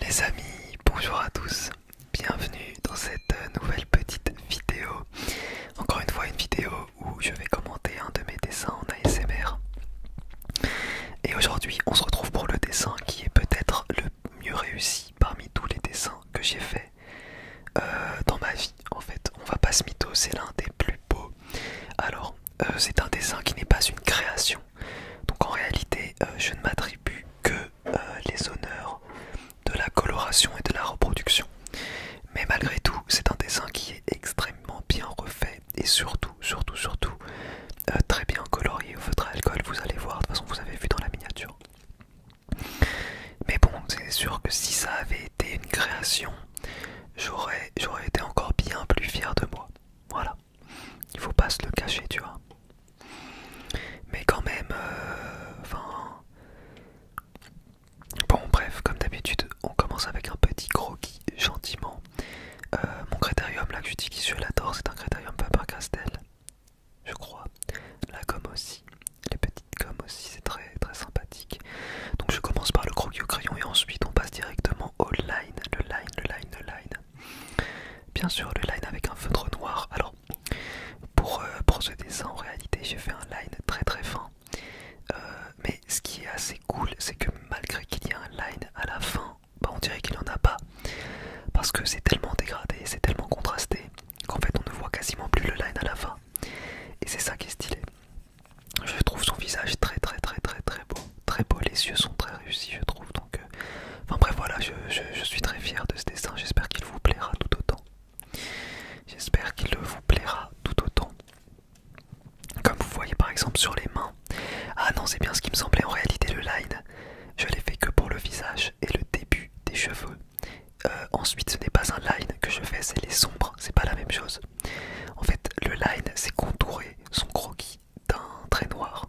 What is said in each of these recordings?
Les amis, bonjour à tous, bienvenue dans cette nouvelle petite vidéo. Encore une fois une vidéo où je vais commenter un de mes dessins en ASMR. Et aujourd'hui on se retrouve pour le dessin qui est peut-être le mieux réussi parmi tous les dessins que j'ai faits euh, dans ma vie en fait. On va pas se mytho, c'est l'un des plus beaux. Alors euh, c'est un dessin qui n'est pas une création donc en réalité, euh, je ne m'attribue que euh, les honneurs de la coloration et de la reproduction. Mais malgré tout, c'est un dessin qui est extrêmement bien refait et surtout, surtout, surtout euh, très bien colorié au feutre alcool. Vous allez voir, de toute façon, vous avez vu dans la miniature. Mais bon, c'est sûr que si ça avait été une création, j'aurais été encore bien plus fier de moi. Voilà. Il faut pas se le cacher, tu vois. Mais quand même, euh, enfin. bon, bref, comme d'habitude, on commence avec un petit croquis, gentiment. Euh, mon critérium, là que je dis qui je l'adore, c'est un critérium Faber-Castell, je crois. La gomme aussi, les petites gommes aussi, c'est très très sympathique. Donc je commence par le croquis au crayon et ensuite on passe directement au line, le line, le line, le line. Bien sûr, le line avec un feutre noir. Alors, pour, euh, procéder ça ce en réalité, j'ai fait un line très très fin. Euh, mais ce qui est assez cool, c'est que malgré qu'il y ait un line à la fin, bah, on dirait qu'il n'y en a pas. Parce que c'est tellement dégradé, c'est tellement contrasté, qu'en fait, on ne voit quasiment plus le line à la fin. Et c'est ça qui est stylé. Je trouve son visage très très très très très beau. Très beau, les yeux sont très réussis, je trouve. Donc, euh, enfin bref, voilà, je, suis très fier de ce dessin. J'espère qu'il vous plaira tout autant. J'espère qu'il vous plaira tout autant. Comme vous voyez par exemple sur les mains. Ah non, c'est bien ce qui me semblait en réalité le line. Je l'ai fait que pour le visage et le début des cheveux. Euh, ensuite, ce n'est pas un line que je fais, c'est les sombres, c'est pas la même chose. En fait, le line, c'est contourer son croquis d'un trait noir.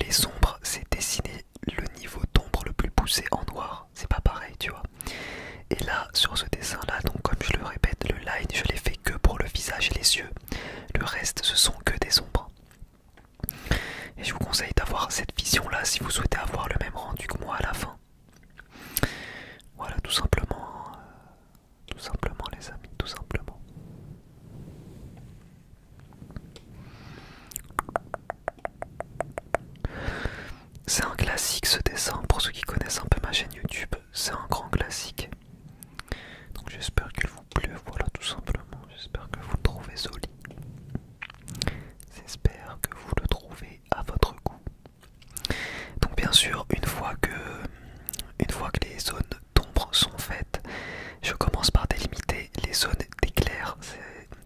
Les ombres, c'est dessiner le niveau d'ombre le plus poussé en noir. C'est pas pareil, tu vois. Et là, sur ce dessin-là, donc comme je le répète, le line, je l'ai fait que pour le visage et les yeux. Le reste, ce sont que des ombres. Et je vous conseille d'avoir cette vision-là si vous souhaitez avoir le même rendu que moi à la fin. Voilà, tout simplement. Euh, tout simplement les amis, tout simplement. C'est un classique ce dessin, pour ceux qui connaissent un peu ma chaîne YouTube, c'est un grand classique. Donc j'espère qu'il vous plaît, voilà tout simplement, j'espère que vous le trouvez joli. J'espère que vous le trouvez à votre goût. Donc bien sûr, une fois que, une fois que les zones d'ombre sont faites. Je commence par délimiter les zones d'éclairs.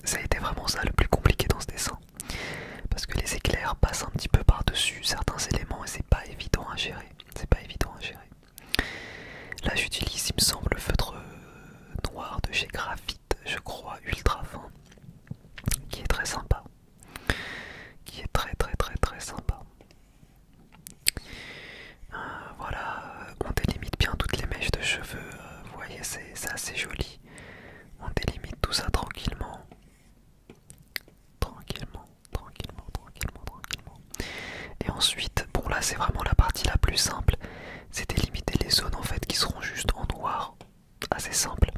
Ça a été vraiment ça le plus compliqué dans ce dessin. Parce que les éclairs passent un petit peu par-dessus certains éléments et c'est pas évident à gérer. C'est pas évident à gérer. Là j'utilise il me semble le feutre noir de chez Graphite, je crois, ultra fin, qui est très sympa. Qui est très très très très sympa. Euh, voilà, euh, on délimite bien toutes les mèches de cheveux, euh, vous voyez, c'est assez joli. On délimite tout ça tranquillement. Tranquillement, tranquillement, tranquillement, tranquillement. Et ensuite, bon là c'est vraiment la partie la plus simple, c'est délimiter les zones en fait qui seront juste en noir, assez simple.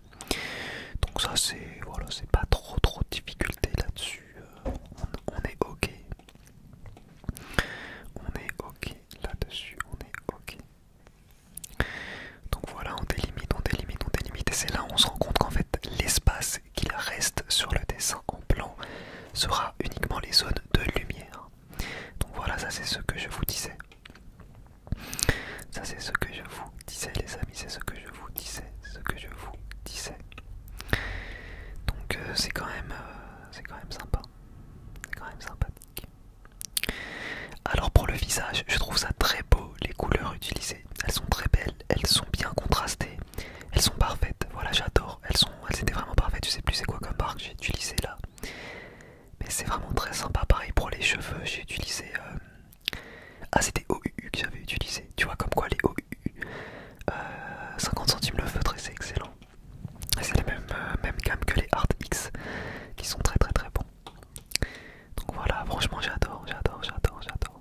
Donc ça c'est voilà, c'est pas trop trop de difficulté là-dessus, on est ok, on est ok là-dessus, on est ok. Donc voilà, on délimite, on délimite, on délimite. Et c'est là on se rend compte qu'en fait, l'espace qu'il reste sur le dessin en plan sera uniquement les zones de lumière. Donc voilà, ça c'est ce que je vous disais. Ça c'est ce que je vous disais les amis, c'est ce que je vous disais, ce que je vous disais. Donc euh, euh, c'est quand même sympa. C'est quand même sympathique. Alors pour le visage, je trouve ça très beau les couleurs utilisées. Elles sont très belles, elles sont bien contrastées, elles sont parfaites. Voilà, j'adore. Elles étaient vraiment parfaites, je sais plus c'est quoi comme marque j'ai utilisé là. Mais c'est vraiment très sympa pareil pour les cheveux, j'ai utilisé euh, ah c'était OUU que j'avais utilisé, tu vois comme quoi les OUU 50 euh, centimes le feutre et c'est excellent. C'est la même, euh, gamme que les Art X qui sont très très très bons. Donc voilà, franchement j'adore, j'adore, j'adore, j'adore.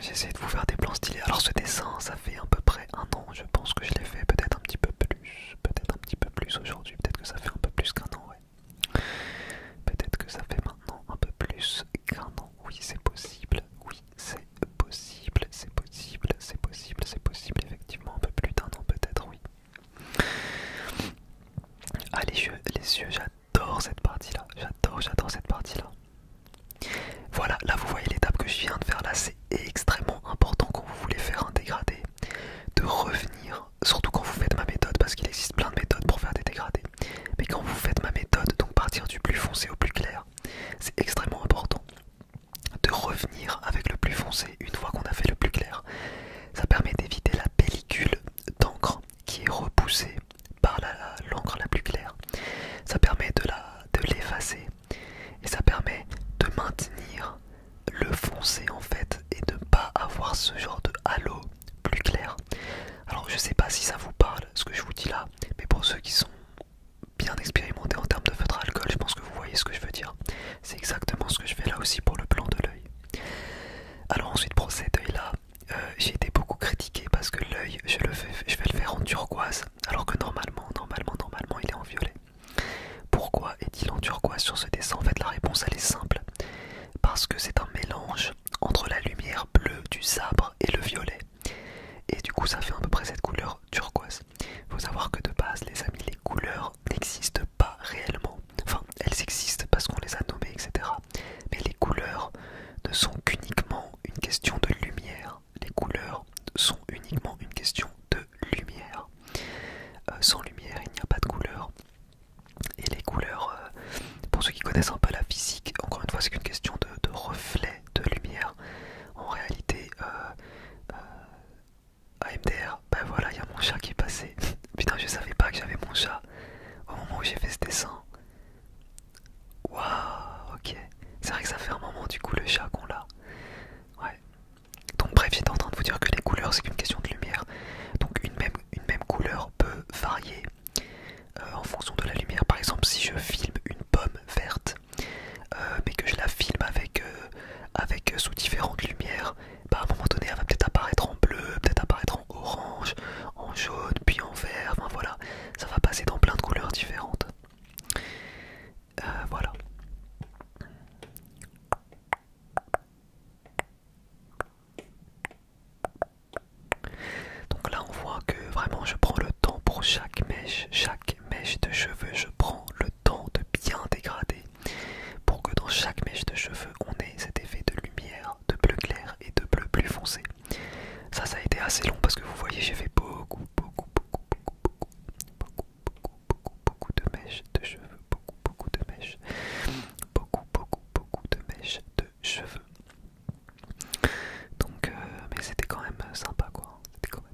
J'essaie de vous faire des plans stylés. Alors ce dessin, ça fait à peu près un an, je pense que je l'ai fait, peut-être un petit peu plus, peut-être un petit peu plus aujourd'hui, peut-être que ça fait un peu plus qu'un an, Peut-être que ça fait maintenant un peu plus qu'un an. Oui, c'est possible. Oui, c'est possible. C'est possible. C'est possible. C'est possible. Effectivement, un peu plus d'un an peut-être. Oui. Ah les yeux, les yeux. J'adore cette partie-là. J'adore, j'adore cette partie-là. Voilà, là vous voyez l'étape que je viens de faire là, c'est extrêmement important quand vous voulez faire un dégradé de revenir, surtout quand vous faites ma méthode, parce qu'il existe plein de méthodes pour faire des dégradés, mais quand vous faites ma méthode, donc partir du plus foncé au plus clair, c'est extrêmement important de revenir avec le plus foncé une fois qu'on a fait le plus clair. Ça permet d'éviter la pellicule d'encre qui est repoussée par l'encre la, plus claire. Ça permet de l'effacer et ça permet de maintenir le foncé en fait et de ne pas avoir ce genre de halo plus clair. Alors je sais pas si ça vous parle ce que je vous dis là, mais pour ceux qui sont bien expérimentés en termes de feutre alcool, je pense que vous voyez ce que je veux dire. C'est exactement ce que je fais là aussi pour le plan de l'œil. Alors ensuite pour cet œil là, euh, j'ai été beaucoup critiqué parce que l'œil je je vais le faire en turquoise, alors que normalement, normalement, normalement il est en violet. Pourquoi est-il en turquoise sur ce dessin En fait la réponse elle est simple. Parce que c'est un mélange entre la lumière bleue du sabre et le violet. Et du coup, ça fait à peu près cette couleur turquoise. Faut savoir que de base, les amis, les couleurs n'existent pas réellement. Enfin, elles existent parce qu'on les a nommées, etc. Mais les couleurs ne sont qu'uniquement une question de lumière. Les couleurs sont uniquement une question de lumière. Euh, sans lumière, il n'y a pas de couleur. Et les couleurs, euh, pour ceux qui connaissent un peu la physique, encore une fois c'est qu'une question de, reflet de lumière. En réalité, AMDR, euh, euh, ben voilà, il y a mon chat qui est passé. Putain, je savais pas que j'avais mon chat au moment où j'ai fait ce dessin. Waouh, ok. C'est vrai que ça fait un moment du coup le chat qu'on l'a. Ouais. Donc bref, j'étais en train de vous dire que les couleurs c'est qu'une question de lumière. Donc une même, une même couleur peut varier euh, en fonction de la lumière. Par exemple, si je filme une pomme verte, euh, mais que je la filme avec, euh, avec sous différentes lumières, bah, à un moment donné, elle va peut-être apparaître en bleu, peut-être apparaître en orange, en jaune, puis en vert. Enfin voilà, ça va passer dans plein de couleurs différentes. voilà. Donc là on voit que vraiment je prends le temps pour chaque mèche, chaque mèche de cheveux, je prends le temps de bien dégrader pour que dans chaque mèche de cheveux on ait cet effet de lumière, de bleu clair et de bleu plus foncé. Ça ça a été assez long parce que vous voyez j'ai fait beaucoup beaucoup beaucoup beaucoup beaucoup beaucoup beaucoup de mèches de cheveux, beaucoup beaucoup de mèches, beaucoup beaucoup beaucoup de mèches de cheveux. Donc, euh, mais c'était quand même euh, sympa quoi. C'était quand même,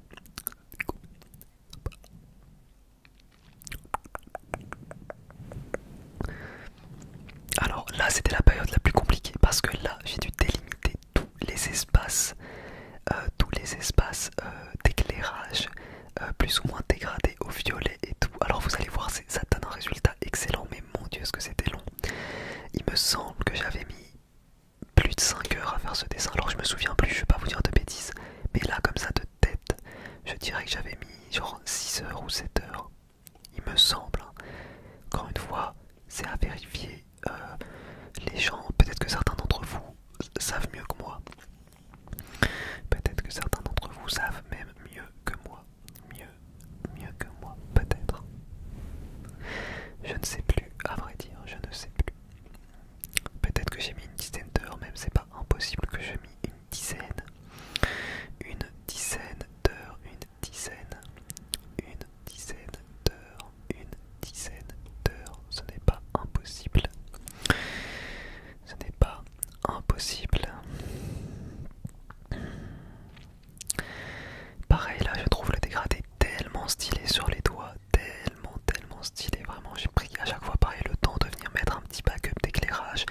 Alors là, c'était la période la plus compliquée parce que là, j'ai dû délimiter tous les espaces, euh, tous les espaces d'éclairage plus ou moins dégradés au violet et tout. Alors vous allez voir, ça donne un résultat excellent, mais mon dieu, ce que c'était long. Il me semble que j'avais mis plus de 5 heures à faire ce dessin, alors je me souviens plus, je vais pas vous dire de bêtises, mais là, comme ça, de tête, je dirais que j'avais mis genre 6 heures ou 7 heures, il me semble. Hein. Encore une fois, c'est à vérifier. Euh, les gens, peut-être que certains d'entre vous savent mieux que moi. Peut-être que certains d'entre vous savent même mieux que moi mieux, mieux que moi, peut-être. Je ne sais plus, à vrai dire, je ne sais plus. Peut-être que j'ai mis une dizaine d'heures, même c'est pas impossible que j'ai mis une dizaine, une dizaine d'heures, une dizaine, une dizaine d'heures, une dizaine d'heures, ce n'est pas impossible ce n'est pas impossible. Pareil là, je trouve le dégradé tellement stylé sur les doigts, tellement tellement stylé. Vraiment, j'ai pris à chaque fois pareil le temps de venir mettre un petit backup d'éclairage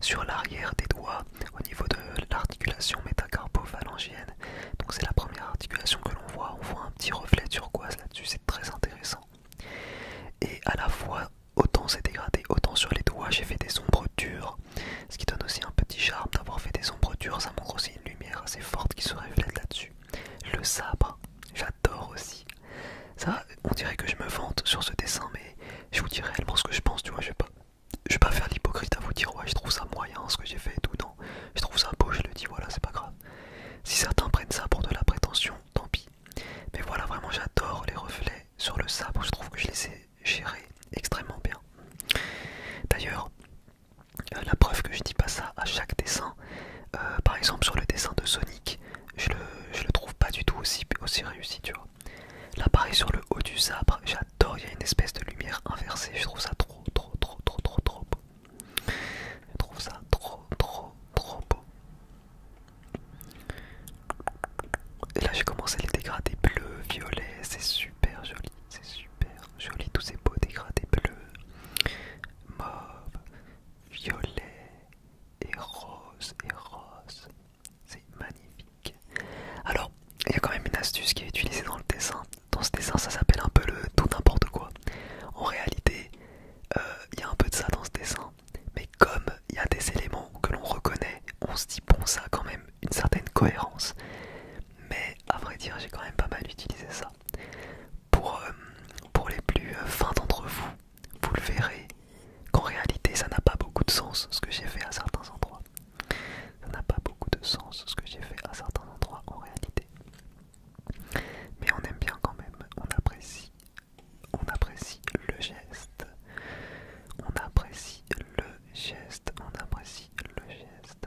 sur l'arrière des doigts au niveau de l'articulation métacarpophalangienne. Donc c'est la première articulation que l'on voit, on voit un petit reflet turquoise là-dessus, c'est très intéressant. Et à la fois Autant c'est dégradé, autant sur les doigts j'ai fait des ombres dures, ce qui donne aussi un petit charme d'avoir fait des ombres dures, ça montre aussi une lumière assez forte qui se reflète là-dessus. Le sabre, j'adore aussi. Ça, on dirait que je me vante sur ce dessin, mais je vous dis réellement ce que je pense, tu vois, je ne pas, je vais pas faire l'hypocrite à vous dire ouais je trouve ça moyen ce que j'ai fait tout, je trouve ça beau, je le dis, voilà, c'est pas grave. Si certains prennent ça pour de la prétention, tant pis. Mais voilà, vraiment j'adore les reflets sur le sabre, je trouve que je les ai gérés extrêmement bien. D'ailleurs, euh, la preuve que je dis pas ça à chaque dessin, euh, par exemple sur le dessin de Sonic, je le, le trouve pas du tout aussi, aussi réussi, tu vois. Là pareil sur le haut du sabre, j'adore, il y a une espèce de lumière inversée, je trouve ça trop trop trop trop trop trop beau. Je trouve ça trop trop trop beau. Et là j'ai commencé les dégradés bleus, violets, c'est super joli, c'est super joli, tous ces beaux dégradés bleus, mauve, violet et rose et rose, c'est magnifique. Alors il y a quand même une astuce qui est utilisée dans le dessin. Dans ce dessin ça s'appelle un peu le tout n'importe quoi. En réalité, euh, il y a un peu de ça dans ce dessin, mais comme il y a des éléments que l'on reconnaît, on se dit bon ça a quand même une certaine cohérence. Mais à vrai dire j'ai quand même pas mal utilisé ça. Pour, euh, pour les plus euh, fins d'entre vous, vous le verrez qu'en réalité ça n'a pas beaucoup de sens ce que j'ai fait à certains endroits. Ça n'a pas beaucoup de sens ce que j'ai fait à certains endroits en réalité. Mais on aime bien quand même, on apprécie on apprécie le geste, on apprécie le geste, on apprécie le geste.